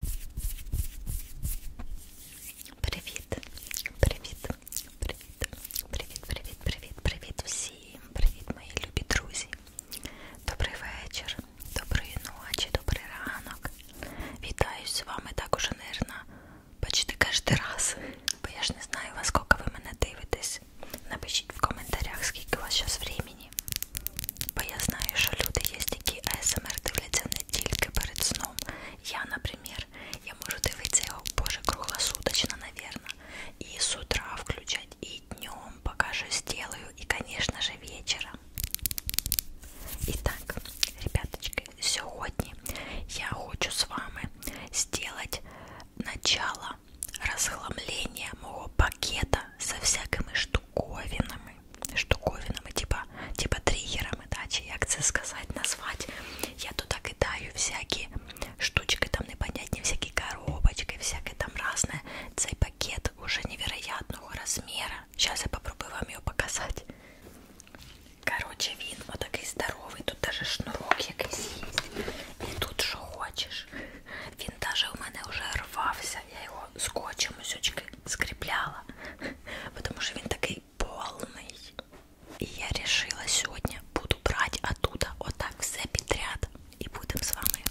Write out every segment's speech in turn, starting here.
Привіт, привіт, привіт, привіт, привіт, привіт, привіт всім, привіт, мої любі друзі. Добрий вечір, доброї ночі, добрий ранок. Вітаю з вами також, нервно почти кожен раз. Бо я ж не знаю, во скільки ви мене дивитесь. Напишіть в коментарях, скільки у вас зараз времени. Бо я знаю, що люди є, які АСМР дивляться не тільки перед сном. Я, наприклад, я можу дивитися його боже круглосуточно, навірно. І з утра включать, і днем, поки щось делаю, і, звісно ж, вечором. І так, ребяточки, сьогодні я хочу з вами сделать начало розхламлення мого пакета со всякими штуками штуковинами, штуковинами, типа, типа триггерами, да, чи як це сказати, назвати. Я туда кидаю всякі штучки, там непонятні, всякі коробочки, всяке там разне. Цей пакет уже невероятного розміра. Зараз я попробую вам його показати. Короче, він отакий здоровий, тут даже шнурок якийсь є. І тут що хочеш. Він даже у мене вже рвався, я його скотчем усючки зубы скрепляла, потому что он такой полный. И я решила сегодня буду брать оттуда вот так все подряд и будем с вами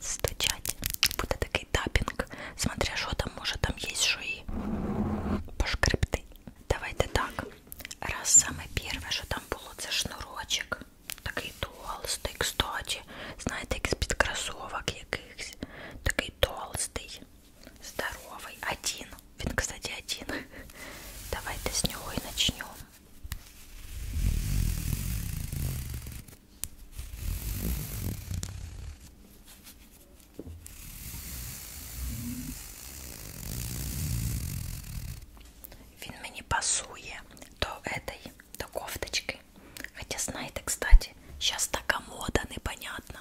стучать. Будет такой тапинг, смотря что там, может там есть что и пошкрипты. Давайте так. Раз самое первое, что там было, это шнурочек. Такий толстий, кстати, знаєте, як з-під кросовок, як Кикс. Такой толстый, здоровый. Один. Вин, кстати, один. Давай-то с него и начнем. Він мені пасує до этой, до кофточки старый. Хотя, знаєте, кстати, сейчас така мода, непонятно.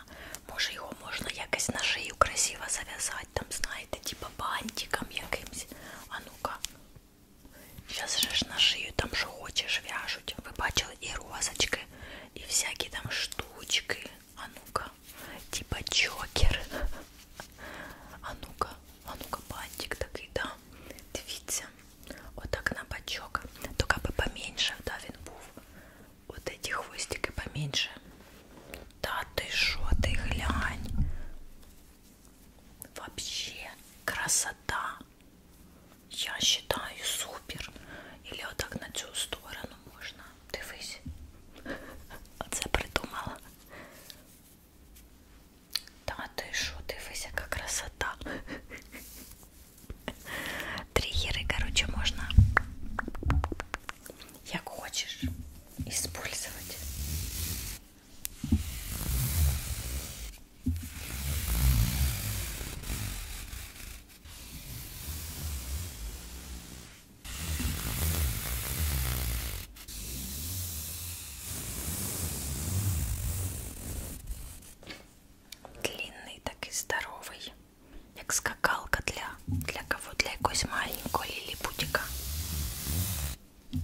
Може його можна якось на шию красиво зав'язати, там, знаєте, типа бантиком якимсь. А ну-ка. Сейчас же ж на шию там що хочеш в'яжуть. Ви бачили і розочки, і всякі там штучки. А ну-ка, типа чокер. А ну-ка, а ну-ка, бантик такий, да. Дивіться от окна бачок, только бы поменьше, да, він був. Вот эти хвостики поменьше. Да ты шо, ты глянь. Вообще красота. Я считаю супер. Или вот так на цю сторону можно. Дивись. Оце придумала. Да ты шо, дивись, яка красота. Триггеры, короче, можно как хочешь использовать длинный, так и здоровый, як скакалка для для кого? Для якогось маленького ліліпутіка. Ось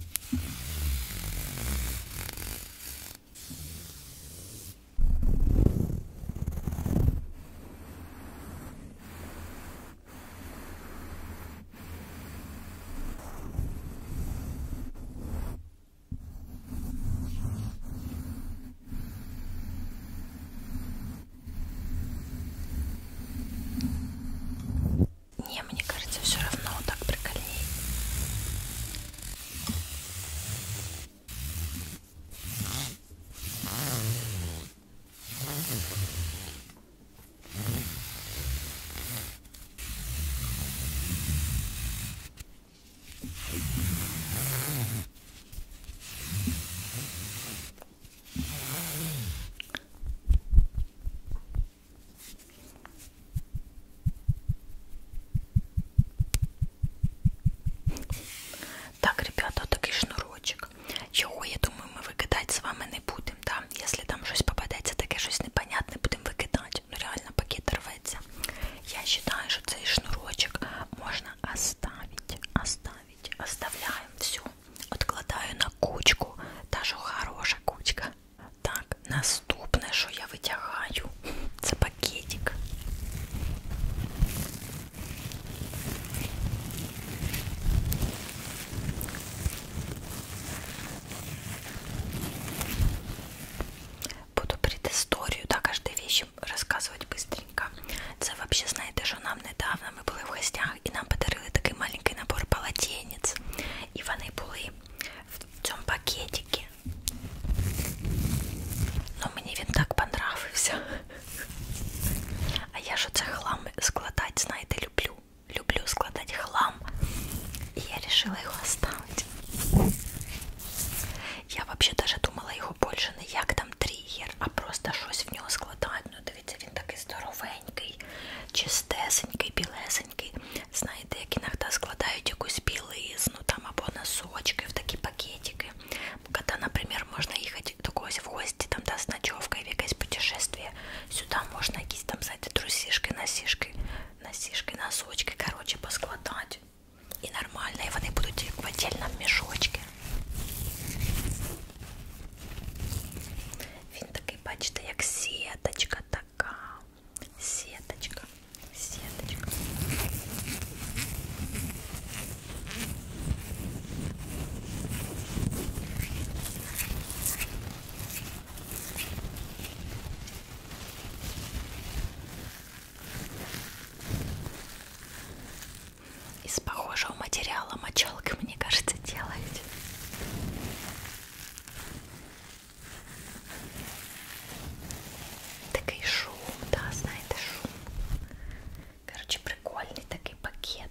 не, мне кажется, все равно вот так прикольней. Так, ребята, такий шнурочок. Його, я думаю, ми викидати з вами не будемо. Да? Якщо там щось попадеться, таке щось непонятне, будемо викидати. Ну реально пакет рве называется. Я считаю, что цей шнурочек можно оставить, оставить, оставляем все. Откладаю на кучку, та що хороша кучка. Так, наступне, що я витягаю, це пакетик. Буду предысторию, да, каждой вещи коротше, розказувати бистренько. Це взагалі, знаєте, що нам недавно ми були в гостях і нам подарили такий маленький набор полотенець. І вони були в цьому пакетику. Ну мені він так понравився. А я ж оце хлам складати, знаєте, люблю. Люблю складати хлам. І я вирішила його оставити. Я вообще даже думала його більше не як там тригер, а просто щось в нього складають. Ну, дивіться, він такий здоровенький, чистесенький, білесенький. Знаєте, як іногда складають якусь білизну там або носочки в такі пакетики. Когда, наприклад, можна їхати до когось в гості, там да, з ночовкою в якесь путешествие, сюди можна якісь там, знаєте, трусішки, носішки, носішки, носочки, коротше, поскладати і нормально, і вони будуть в отдельному мішочці. Він такий, бачите, як сіточка така. Сіточка, сіточка. Из похожего материала мочалка, мне кажется, делают. Такой шум, да, знаете, шум. Короче, прикольный такой пакет.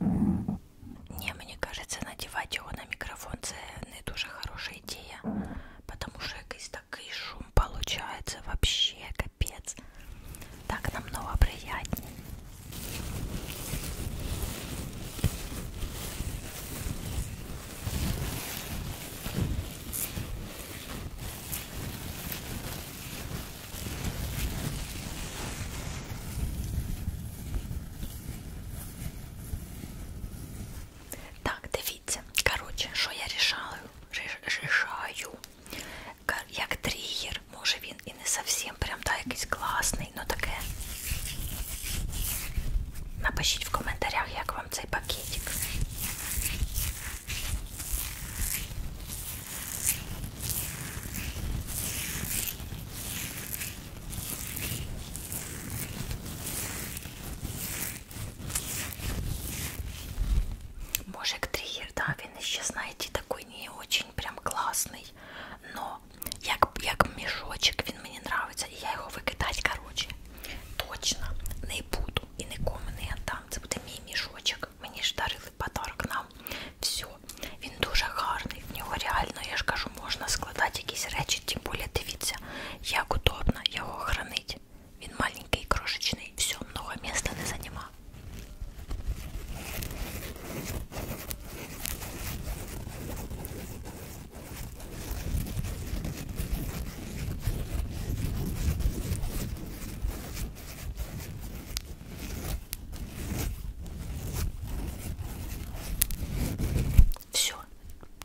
Не, мне кажется, надевать его на микрофон це не дуже хороша ідея, потому що якийсь такий шум получается вообще капец. Так намного приятнее. Так, дивіться, коротше, що я рішаю, рішаю. Як тригер, може він і не зовсім прям та якийсь класний, ну таке. Напишіть в коментарях, як вам цей пакетик. Мужик Триер, да, він ще, знаєте, такий не очень прям класний, но як, як мішочок він мені нравиться, і я його викидати, короче, точно не буду і нікому не віддам. Це буде мій мішочок. Мені ж дарили теплий подарок нам. Все. Він дуже гарний. В нього реально, я ж кажу, можна складати якісь речі, тим більше дивіться, як удобно його хранить. Він маленький, крошечний, все, много місця не займає. Все,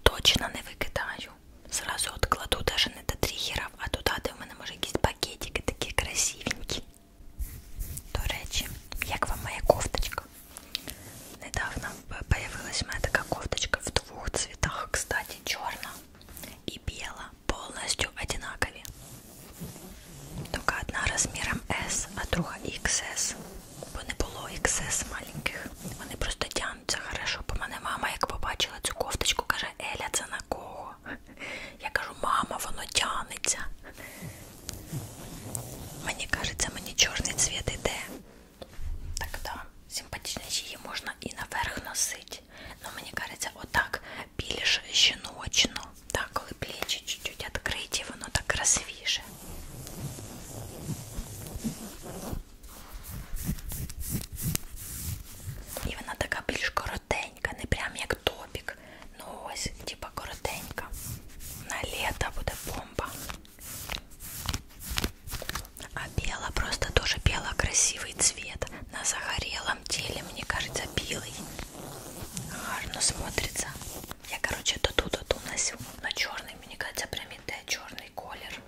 точно не викидаю. Зразу от кладу даже не до тригерів, а туди, де в мене може якісь пакетики такі красивенькі. До речі, як вам моя кофточка? Недавно появилась моя така кофточка в двох цвітах, кстати, чорна і біла. полностью одинакові. Тільки одна розміром S, а друга XS. Бо не було XS маленьких. Вони просто тягнуться хорошо. Бо мене мама, як побачила цю кофточку, каже, Еля, це на кого? Я кажу, мама, воно тягнеться. Мені кажеться, мені чорний цвіт іде. Так да, симпатичніше її можна і наверх носити. пилить. Но мне кажется, вот так пилишь щеночну. Так, коли плечі чуть-чуть відкриті, воно так красивіше. І вона така більш коротенька, не прям як топік. Ну ось, типа коротенька. На літо буде бомба. А бело просто тоже бело красивый цвет. На загорелом теле, мне кажется, белый. гарно смотрится. Я, короче, то ту, то ту носю. Но чорний, мені кажеться, прям іде чорний колір.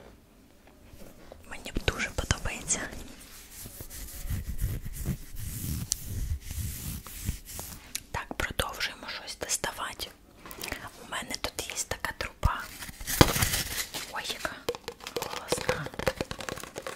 Мені дуже подобається. Так, продовжуємо щось доставати. У мене тут є така труба. Ой, яка голосна.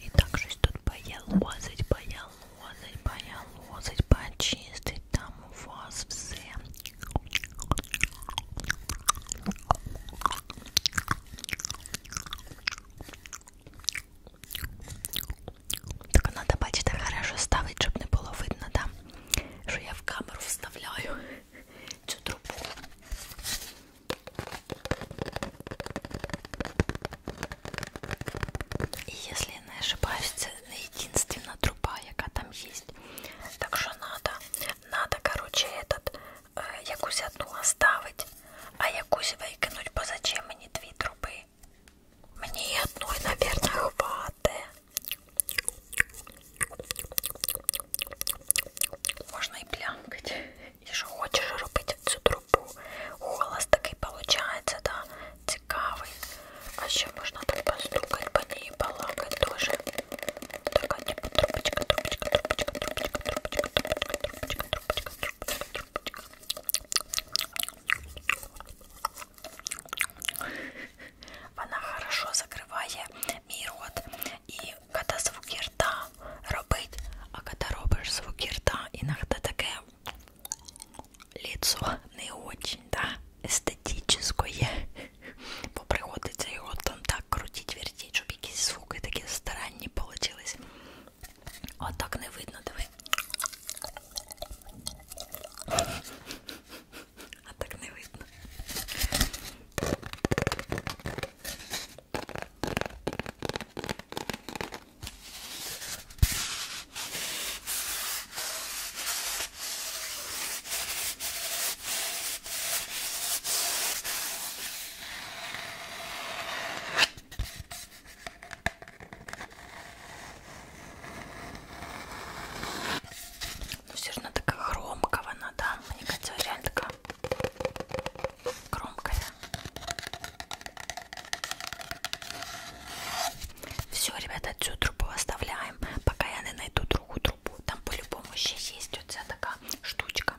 И также тут поелозить, поелозить, поелозить, почистить там у вас все. Так надо бачите хорошо ставить, щоб не було видно, да? що я в камеру вставляю цю трубу. И если я не ошибаюсь, это единственная труба, яка там есть. Так что надо, надо, короче, этот э, якусь одну оставить, а якусь выкинуть, бо зачем мне две трубы? Мне и одной, наверное, хватает. Можно и плямкать. І що хочеш робити в цю трубу? Голос такий виходить, да? цікавий. А ще можна так постукати по ній, балакати теж. Така типу трубочка, трубочка, трубочка, трубочка, трубочка, трубочка, трубочка, трубочка, трубочка, трубочка. Вона хорошо закриває мій рот. І коли звуки рта робить, а коли робиш звуки рта, іноді таке лицо не очень, да, эстетическое. Бо приходиться його там так крутить, вертіть, щоб якісь звуки такі старанні получились. А так не видно, диви. А так не видно. Ну, все равно такая хромковая, да? Мне кажется, реально такая громкая. Все, ребята, всю трубу оставляем, пока я не найду другую трубу. Там по-любому еще есть вот вся такая штучка.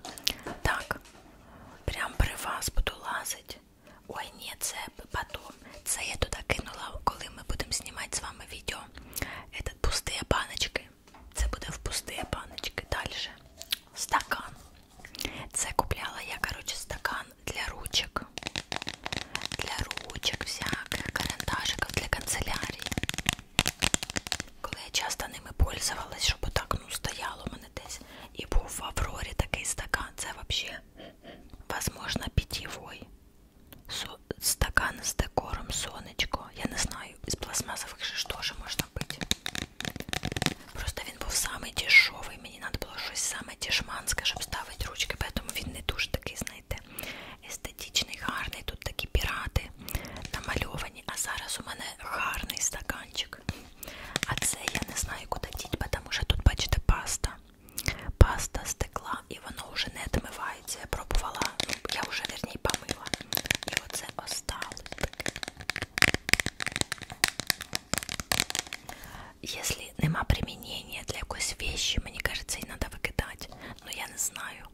Так, прям при вас буду лазить. Ой, ні, це потом. Це я туди кинула, коли ми будемо знімати з вами відео. Этот пустые баночки. Це буде в пустые баночки. Дальше. Стакан. Це купляла я, коротше, стакан для ручок. Для ручок всяких, карандашиків для канцелярії. Коли я часто ними пользувалась, щоб отак ну, стояло мене десь. І був в Аврорі такий стакан. Це взагалі, возможно, питьевой. Стакан з декором сонечко. Я не знаю, із пластмасових же ж теж можна пити. Просто він був самий дешевий, мені треба було щось саме дешманське, щоб ставити ручки, тому він не дуже такий, знаєте, естетичний, гарний. Тут такі пірати намальовані, а зараз у мене гарний стаканчик. А це я не знаю, куди діть, тому що тут, бачите, паста. Паста стекла і воно вже не відмивається. Я пробувала, ну, я вже верні помила. І оце осталось таке. Если нема примінення для якоїсь вещи, мені кажеться, її треба викидати. Ну я не знаю.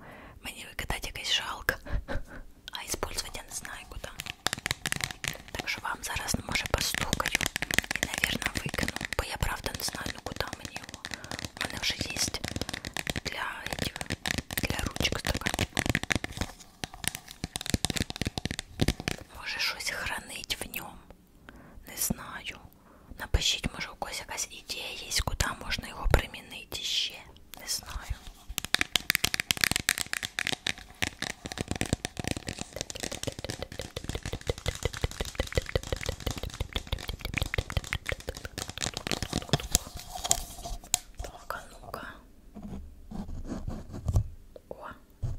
Мені викидати якось жалко. А использовать я не знаю куди. Так що вам зараз ну, може постукаю і, навірно, викину. Бо я правда не знаю, ну куди мені його. У мене вже є для этих, для ручок стакан. Може щось хранить в ньому. Не знаю. Напишіть, може, у когось якась ідея є, куди можна його примінити ще. Не знаю. Так, а ну-ка. О.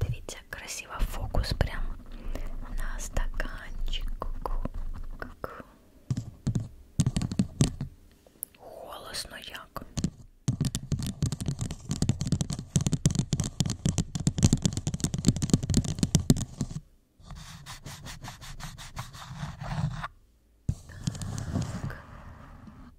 Дивіться, красиво фокус прямо на стаканчику. Голосно як. Так.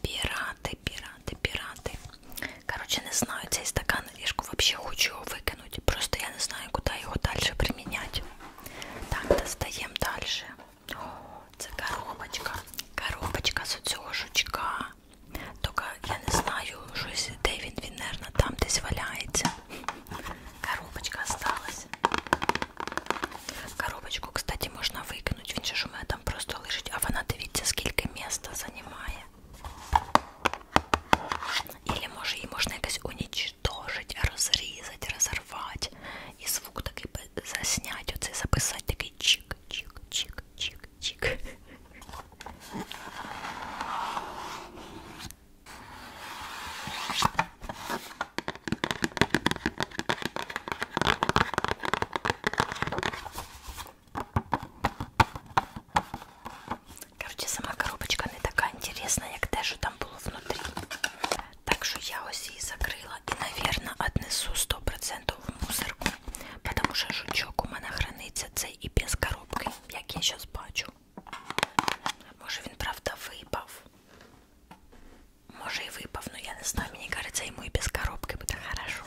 пираты, пираты, пираты. Короче, не знаю, цей стакан лишку вообще хочу выкинуть. Просто я не знаю, куда его дальше применять. Так, достаем дальше. О, це коробочка. Коробочка з оцього жучка. Только я не знаю, щось де він, він, наверное, там десь валяється. Коробочка осталась. Коробочку, кстати, можна викинути. Він же ж у мене там просто лежить, а вона дивіться, скільки міста займає. Ілі може її можна якось унічтожити, розрізати, розорвати. І звук такий засняти, оцей записати такий чик-чик-чик-чик-чик. Короче, сама коробочка не така інтересна, як те, що там було внутрі. Так що я ось її закрила і, навірно, віднесу 100% в мусорку, тому що жучок у мене храниться цей і без коробки, як я зараз бачу. Може він, правда, випав. Може и выпав, но я не знаю, мне кажется, ему и без коробки будет хорошо.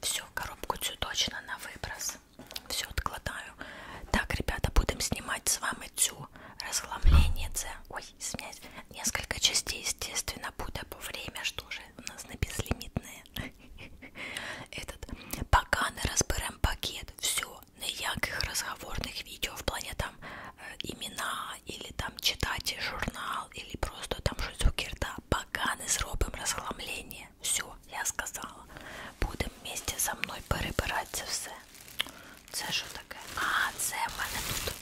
Все, коробку цю точно на выброс. Все откладаю. Так, ребята, будем снимать с вами цю разгламление. Це. Ой, извиняюсь. Несколько частей, естественно, будет по а время, что же у нас на безлимитное. Этот. Пока не разберем пакет. Все неяких разговорних відео в плані там імена, э, ілі там читати журнал, ілі просто там щось у кірта, пока не зробимо розхламлення. Все, я сказала. Будемо вместе со мною перебирати це все. Це що таке? А, це в мене тут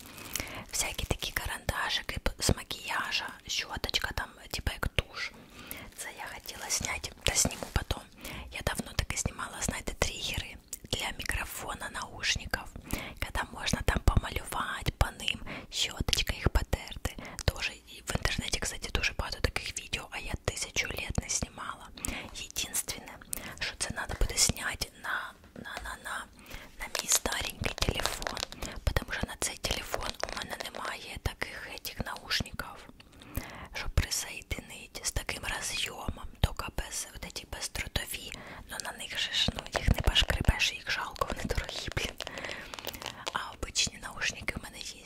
всякі такі карандашики з макіяжа, щоточка там, типа як туш. Це я хотіла зняти, та зніму потім давно. Я давно так и снимала, знаете, триггеры для микрофона, наушников, когда можно там помалювать по ним, щеточка их потерты. Тоже и в интернете, кстати, тоже багато таких видео, а я тысячу лет не снимала. Единственное, что це надо буде снять на, на, на, на, на мій старенький телефон, потому що на цей телефон у мене немає таких этих наушников щоб присоєдинити з таким розйомом, тільки без от ці бездротові, ну на них же ж, ну їх не пошкребеш, їх жалко, вони дорогі, блін. А обичні наушники в мене є.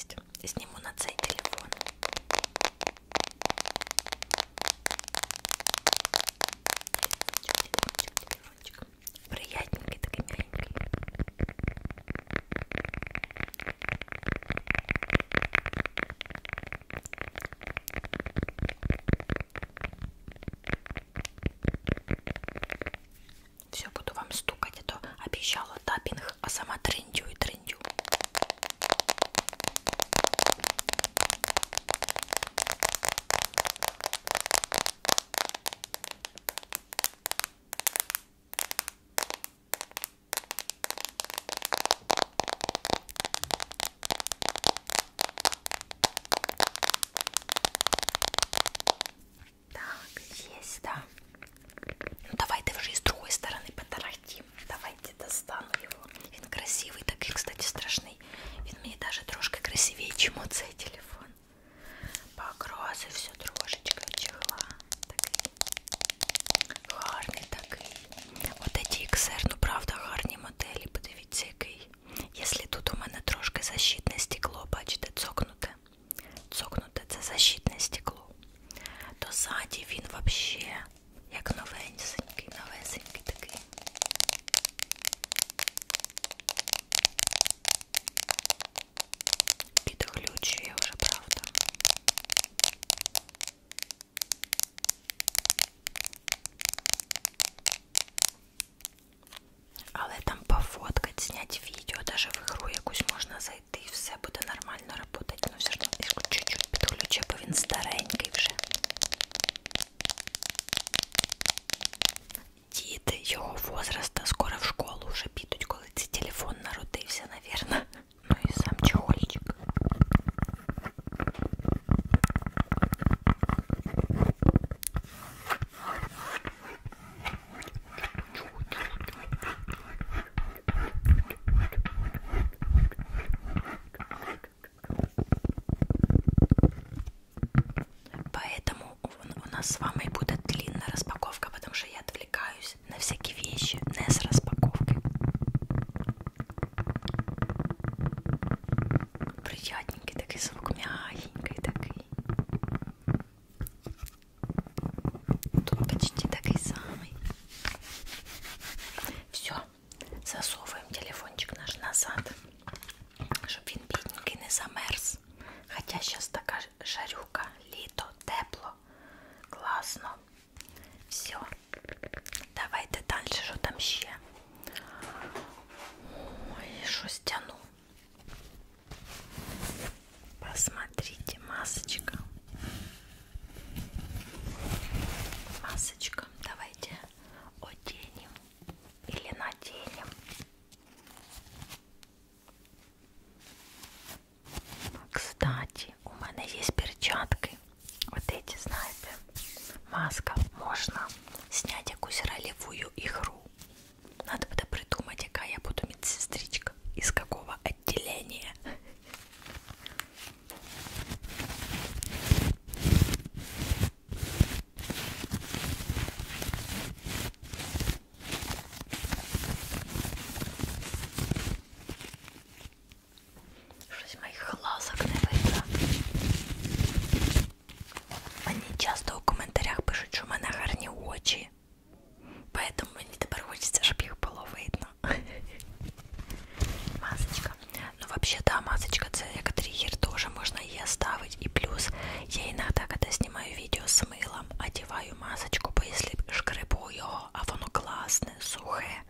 Зніму на цей телефон. Приятненький, такий миленький. Все, буду вам стукать, а то обещала таппинг, а сама трендю и трендю. Так, есть, да. Ну давай ты уже и с другой стороны потарахтим. Давайте достану его. Он красивый, такой, кстати, страшный. Он мне даже трошки красивее, чем вот цей телефон. Покраси все трошечка чехла. Такий. Гарний такий. От ті XR, ну правда, гарні моделі, подивіться який. Якщо тут у мене трошки защитне стекло, бачите, цокнуте. Цокнуте це защитне стекло. То ззаді він взагалі як новенький, новесенький такий. Підключує вже, правда. Але там пофоткать, снять відео, даже в ігру якусь можна зайти і все буде нормально работать. Ну все ж чуть-чуть підключу, бо він старенький вже. Діти його возраста скоро в школу вже підуть, коли цей телефон народився, навірно ну и сам чехольчик Поэтому у нас с вами будет длинная распаковка, потому что я отвлекаюсь купить на всякие вещи не с распаковкой. Приятненький такой звук, мягенький такой. Тут почти такой самый. Все, засовываем телефончик наш назад, щоб він бідненький не замерз. Хоча зараз така жарюка, літо, тепло, класно. Все. Давайте далі, що там ще? Ой, щось тяну. Посмотрите, масочка. Масочка. Давайте оденем или наденем. Кстати, у мене є перчатки. Вот эти, знаєте, маска. Можна зняти якусь ролевую ігру. Надо буде придумати, яка я буду медсестричка, из какого отделения. Щось моїх глазок не видно. Мені часто у коментарях пишуть, що в мене гарні очі. Поэтому мені тепер хочеться, щоб їх було видно. Масочка. Ну вообще, да, масочка це як триггер тоже можно її оставить. І плюс я иногда, когда снимаю видео с мылом, одеваю масочку, бо если шкребу його, а воно класне, сухе,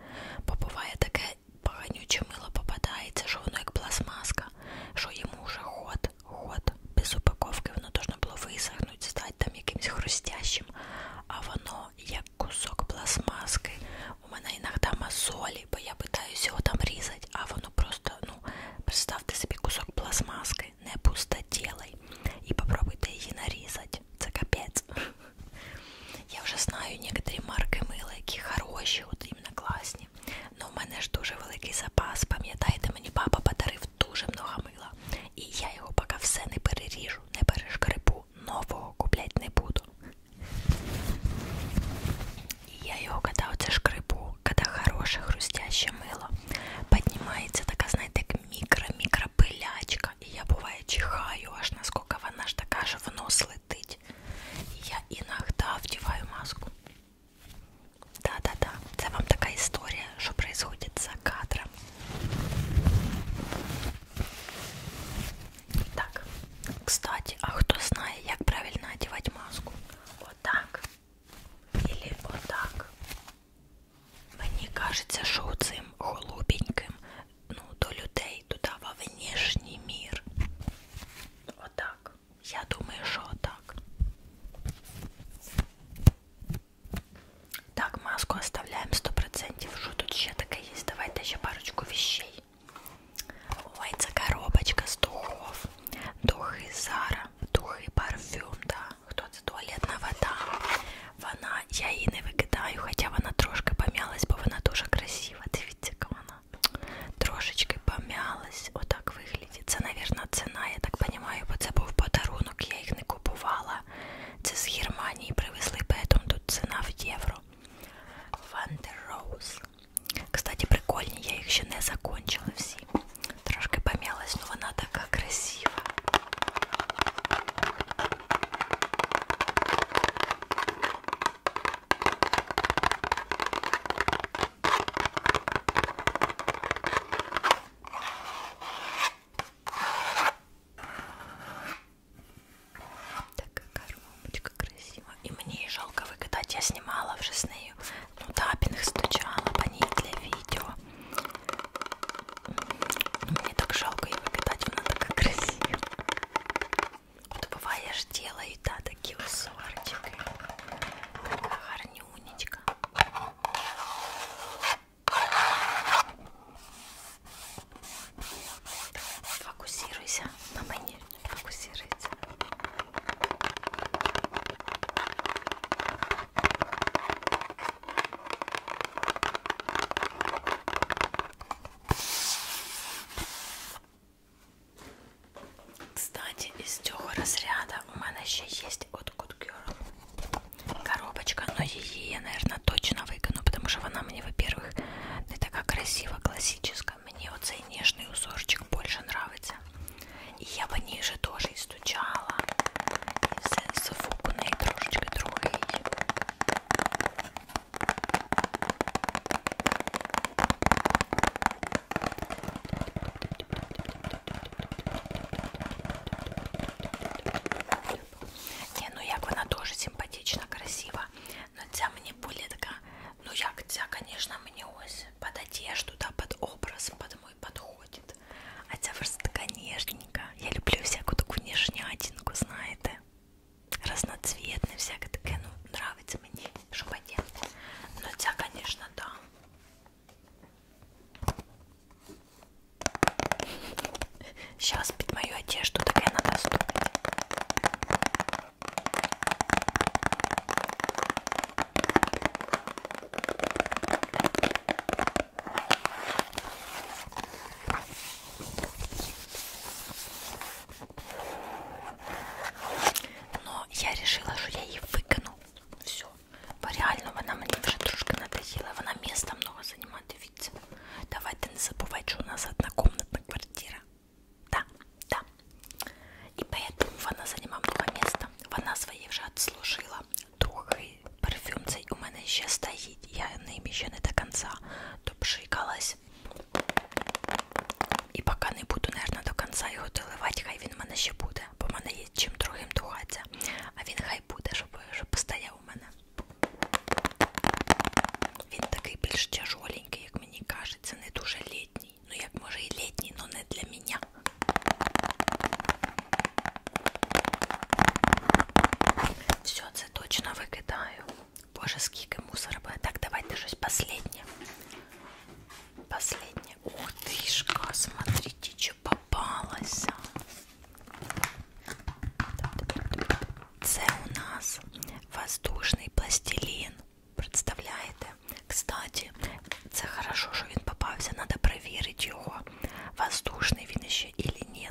бо буває таке поганюче мило попадається, що воно як пластмаска, що йому вже ход, ход, без упаковки воно должно було висохнути, стати там якимось хрустящим, а воно як кусок пластмаски. У мене іноді мозолі, бо я питаюся його там різати, а воно просто, ну, представте собі кусок пластмаски, не пустотілий, і попробуйте її нарізати есть. Это капец. Я вже знаю некоторі марки мила, які хороші, от іменно класні. Но в мене ж дуже великий запас. Пам'ятаєте, мені папа подарив дуже много мила. І я його поки все не переріжу, не перешкрипу, нового куплять не буду. И я його коли оце шкрипу, коли хороше хрустяще мило, піднімається така, знаєте, як мікро-мікропилячка кошка, і я буває чихаю, аж наскільки вона ж така ж в нос летить. Я іногда вдіваю маску. Да-да-да, це вам така історія, що происходит за кадром. Так, кстати, а хто знає, як правильно одягати маску? Отак. Или отак. Мені кажеться, що цим голубеньким ну, до людей, туди, во внешній мір. Отак. Я думаю, що отак. Так, маску оставляємо 100%. Що тут ще таке є? Давайте ще парочку віщей. Ой, це коробочка з духов. Духи Зара, духи парфюм, да. Хто це туалетна вода? Вона, я її не викидаю, хоча вона трошки пом'ялась, бо вона дуже красива. Дивіться, яка вона трошечки пом'ялась, отак виглядить. Це, мабуть, ціна, я так розумію, бо це був подарунок, я їх не купувала. Це з Германії привезли, поэтому тут ціна в євро. Вандерроуз. Кстати, прикольні, я їх ще не закончила всі. Трошки пом'ялась, але вона така красива. Такая коробочка красивая. И мне жалко выкатать. Я снимала в вжесную. Ну, тапин их стучала по ней для видео. Мне так жалко его кидать, вона така красива. От буває ж діло і та такі усорчики. Така гарнюнечка. Фокусируйся на мені. Фокусируйся. Кстати, из цього розряду у мене ще є от Good Girl коробочка, но її я, наверное, точно выкину, потому что вона мені, во-первых, не така красива, классическая. Мне вот цей нежный узорчик больше нравится. И я по ней же тоже и стучала. И сенсофук у неї трошечки другий. Не, ну як вона дуже симпатична, красива. Но ця мені буде така. Ну як ця, звісно, мені ось під одежду, да, під образ, під мой підходить. А ця просто така ніжненька. Я люблю всяку таку ніжнятинку, знаєте разноцветная, всякая такая, ну, нравится мне шумодел. Но ну, тебя, конечно, да. Сейчас пить мою одежду, так и надо ступить. Но я решила, что я її викину. Все. Бо реально вона мені вже трошки надоїла. Вона міста много займає, дивіться. Давайте не забувайте, що у нас однокомнатна квартира. Да, да. І поэтому вона займає много міста. Вона своє вже відслужила. Другий Парфюм цей у мене ще стоїть. Я ним ще не до кінця допшикалась. І поки не буду, наверное, до кінця його доливати, хай він в мене ще буде. Бо в мене є чим другим духатися. А він хай буде, щоб, щоб стояв у мене. Він такий більш тяжоленький, як мені кажеться, не дуже літній. Ну, як може і літній, але не для мене. Все, це точно викидаю. Боже, скільки мусора буде. Так, давайте щось последнє. Последнє. Ух ти ж, смотрите, що попалося. Це у нас воздушний пластилін. Представляєте? Кстати, це хорошо, що він попався. Надо перевірити його. Воздушний він ще или ні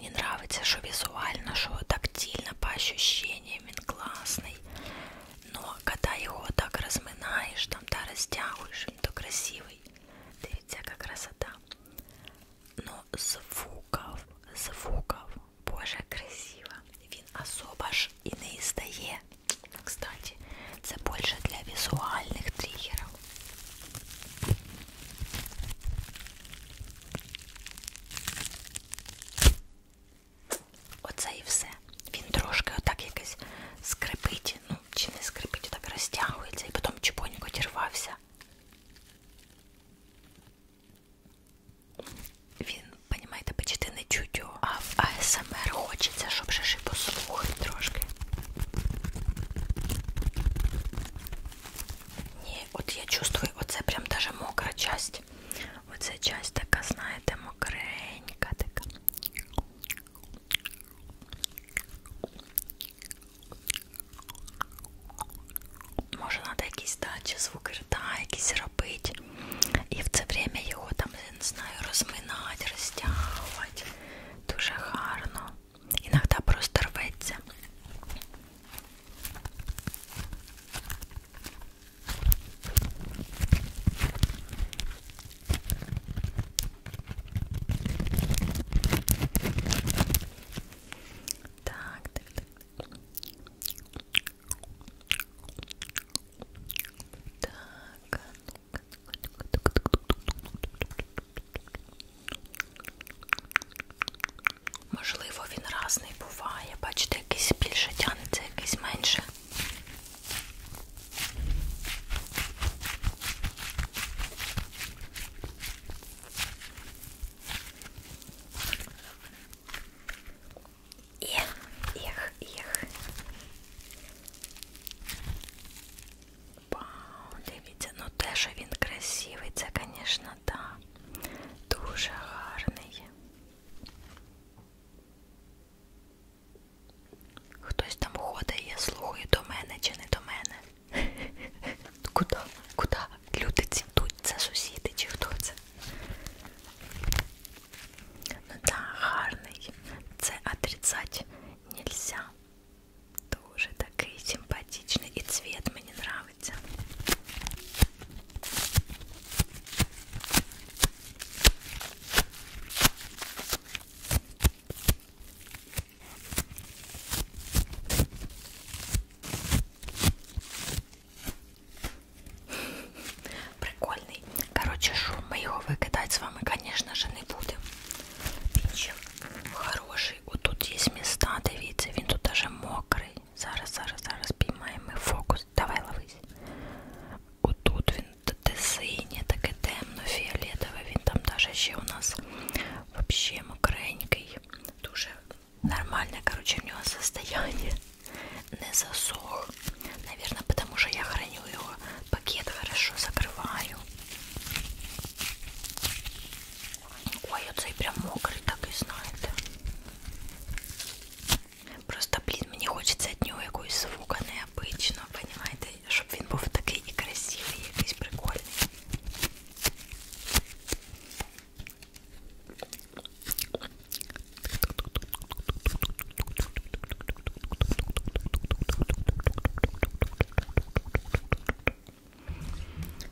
мені нравиться, що візуально, що тактильно, по ощущениям він класний. Но когда його так розминаєш, там та розтягуєш, він то красивий. Дивіться, яка красота. Но звуков, звуков, боже, красиво. Він особо ж і не іздає. Кстати, це більше для візуальних тригерів. Оце і все. Він трошки отак якось скрипить, ну, чи не скрипить, отак розтягується і потім чепонько дірвався. Він, понімаєте, почти не чуть його, а в АСМР хочеться, щоб ще і послухати трошки. Ні, неї, от я чувствую, оце прям даже мокра часть. Оця часть така, знаєте, мокренька така. Може треба якісь дачі, звуки рта, якісь робити. І в це время його там, я не знаю, розминати, розтягувати. Дуже гарно. Іногда просто рветься. Так, так, так. Так. Можливо, він разний буває. Бачите, якийсь більше тянеться, якийсь менше. Ех, ех, ех. Вау, дивіться, ну теж він красивий, це, звісно, так. Да. Дуже гарний. Хтось там ходить, слухає до мене чи не до мене. Куда? Куда? Люди цінтуть, це сусіди чи хто це? Ну так, да, гарний. Це отрицать нельзя. Дуже такий симпатичний і цвіт мені подобається попробуйте. Прикольний. Коротше, шум ми його викидати з вами, звісно ж, не будемо. Він ще хороший. Отут є міста, дивіться, він тут даже мокрий. Зараз, зараз, зараз піймаємо фокус. Давай ловись. Отут він синє, таке темно-фіолетове, він там даже ще у нас вообще мокренький. Дуже нормальне, короче, у нього состояние. Не засох. Наверное, потому что я храню его. Пакет хорошо закрываю. Ой, оцей прям мокрий, так і знаєте. Просто, блін, мені хочеться від нього якогось звука необичного, понімаєте, щоб він був такий і красивий, і якийсь прикольний.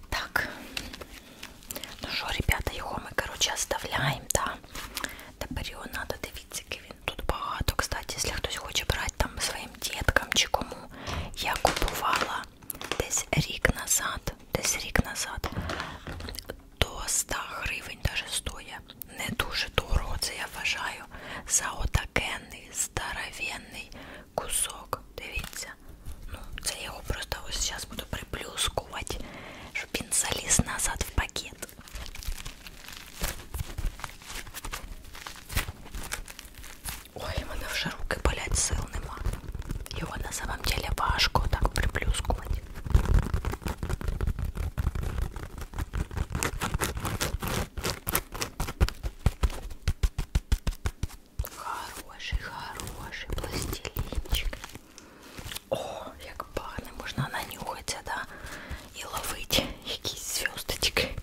Так, ну що, ребята, його ми, короче, оставляємо, да? Тепер його треба дивитися, він тут багато. Кстати, якщо хтось хоче брати там своїм діткам чи кому, я купувала десь рік назад, десь рік назад, до 100 гривень даже стоя. Не дуже дорого, це я вважаю, за отакенний, здоровенний кусок дивіться. Ну, це я його просто ось зараз буду приплюскувати, щоб він заліз назад в пакет. Ой, в мене вже руки болять, сил нема. Його на самом деле важко так приплюскувати. Хороший, хороший пластилинчик. О, як гарно, можна нанюхатися, да? І ловити якісь зв'язки.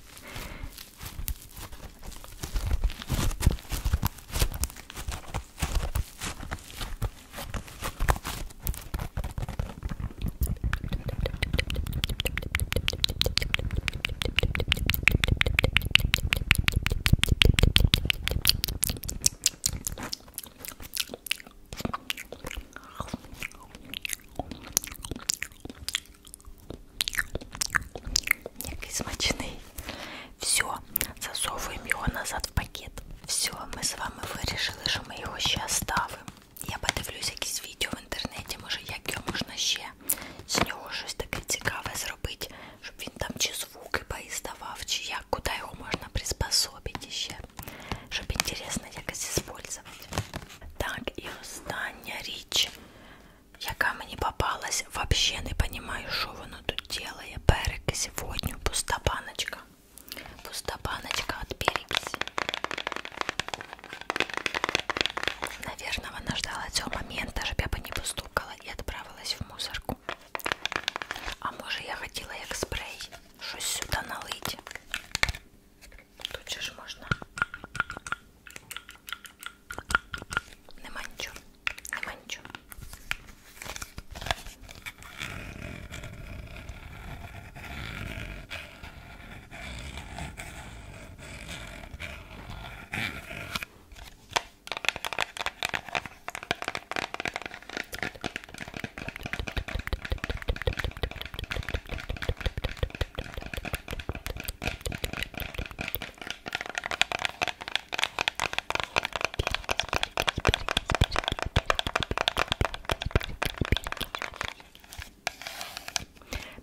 Некий смачный. Все, засовуємо його назад в пакет. Все, ми з вами вирішили, що ми його ще оставимо. Я подивлюсь якісь відео в інтернеті, може як його можна ще з нього щось таке цікаве зробити щоб він там чи звуки поїздавав, чи як, куди його можна приспособити ще, щоб інтересно якось використовувати. Так, і остання річ, яка мені попалась, взагалі не розумію, що воно тут робить. Перекись водню, пуста баночка. Пуста баночка от перекиси. Наверное, она ждала этого момента, чтобы я бы не постукала и отправилась в мусорку. А може я хотіла як спрей щось сюди налити. Тут же ж можна. Нема нічого. Нема нічого.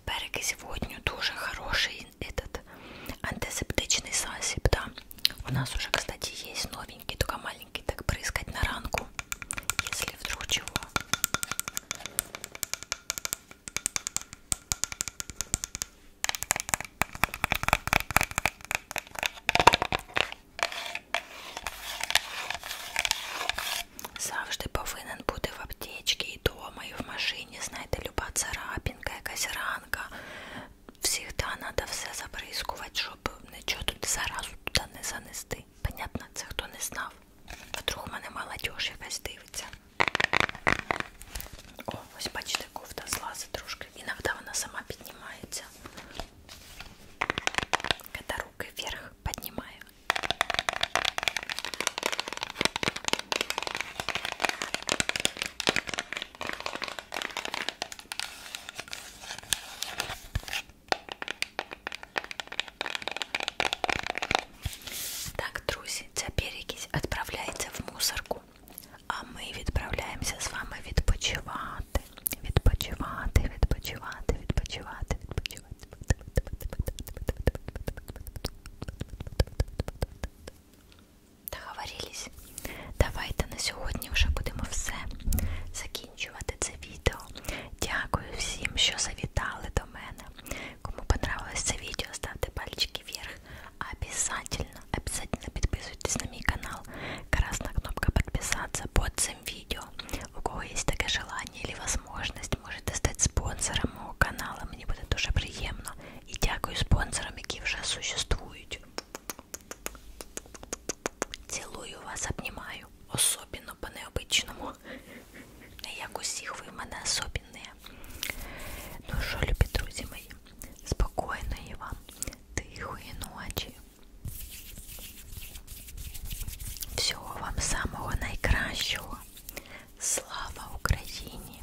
Береги сегодня тоже хороший этот антисептичный сасиб, да. У нас уже, кстати, есть новенький, только маленький, так брызгать на ранку, если вдруг чего. Завжди повинен бути в аптечці і дома, і в машині, знаєте, люба царапінка, якась ранка, всегда треба все забризкувати, щоб нічого тут заразу туди не занести. Понятно, це хто не знав. Вдруг у мене молодь якась дивиться. О, ось бачите, кофта злазить трошки. Іноді вона сама піднімається. Коли руки вверх піднімаю. Так, друзі, ця перекись відправляється в мусорку, а ми відправляємося з вами відпочивати, відпочивати, відпочивати, відпочивати, відпочивати. Договорились. Давайте на сьогодні вже будемо все закінчувати це відео. Дякую всім, що завітали до мене. Кому понравилось це відео, ставте пальчики вверх. Обязательно, обязательно підписуйтесь на мій канал. Красна кнопка подписаться под цим відео. У кого є таке желання или возможность, можете стати спонсором мого канала. Мені буде дуже приємно. І дякую спонсорам, які вже существують поцелуете. Цілую вас, обнімаю, особливо по-необичному. Як усіх ви в мене особенні. Ну що, любі друзі мої, спокійної вам, тихої ночі. Всього вам самого найкращого. Слава Україні!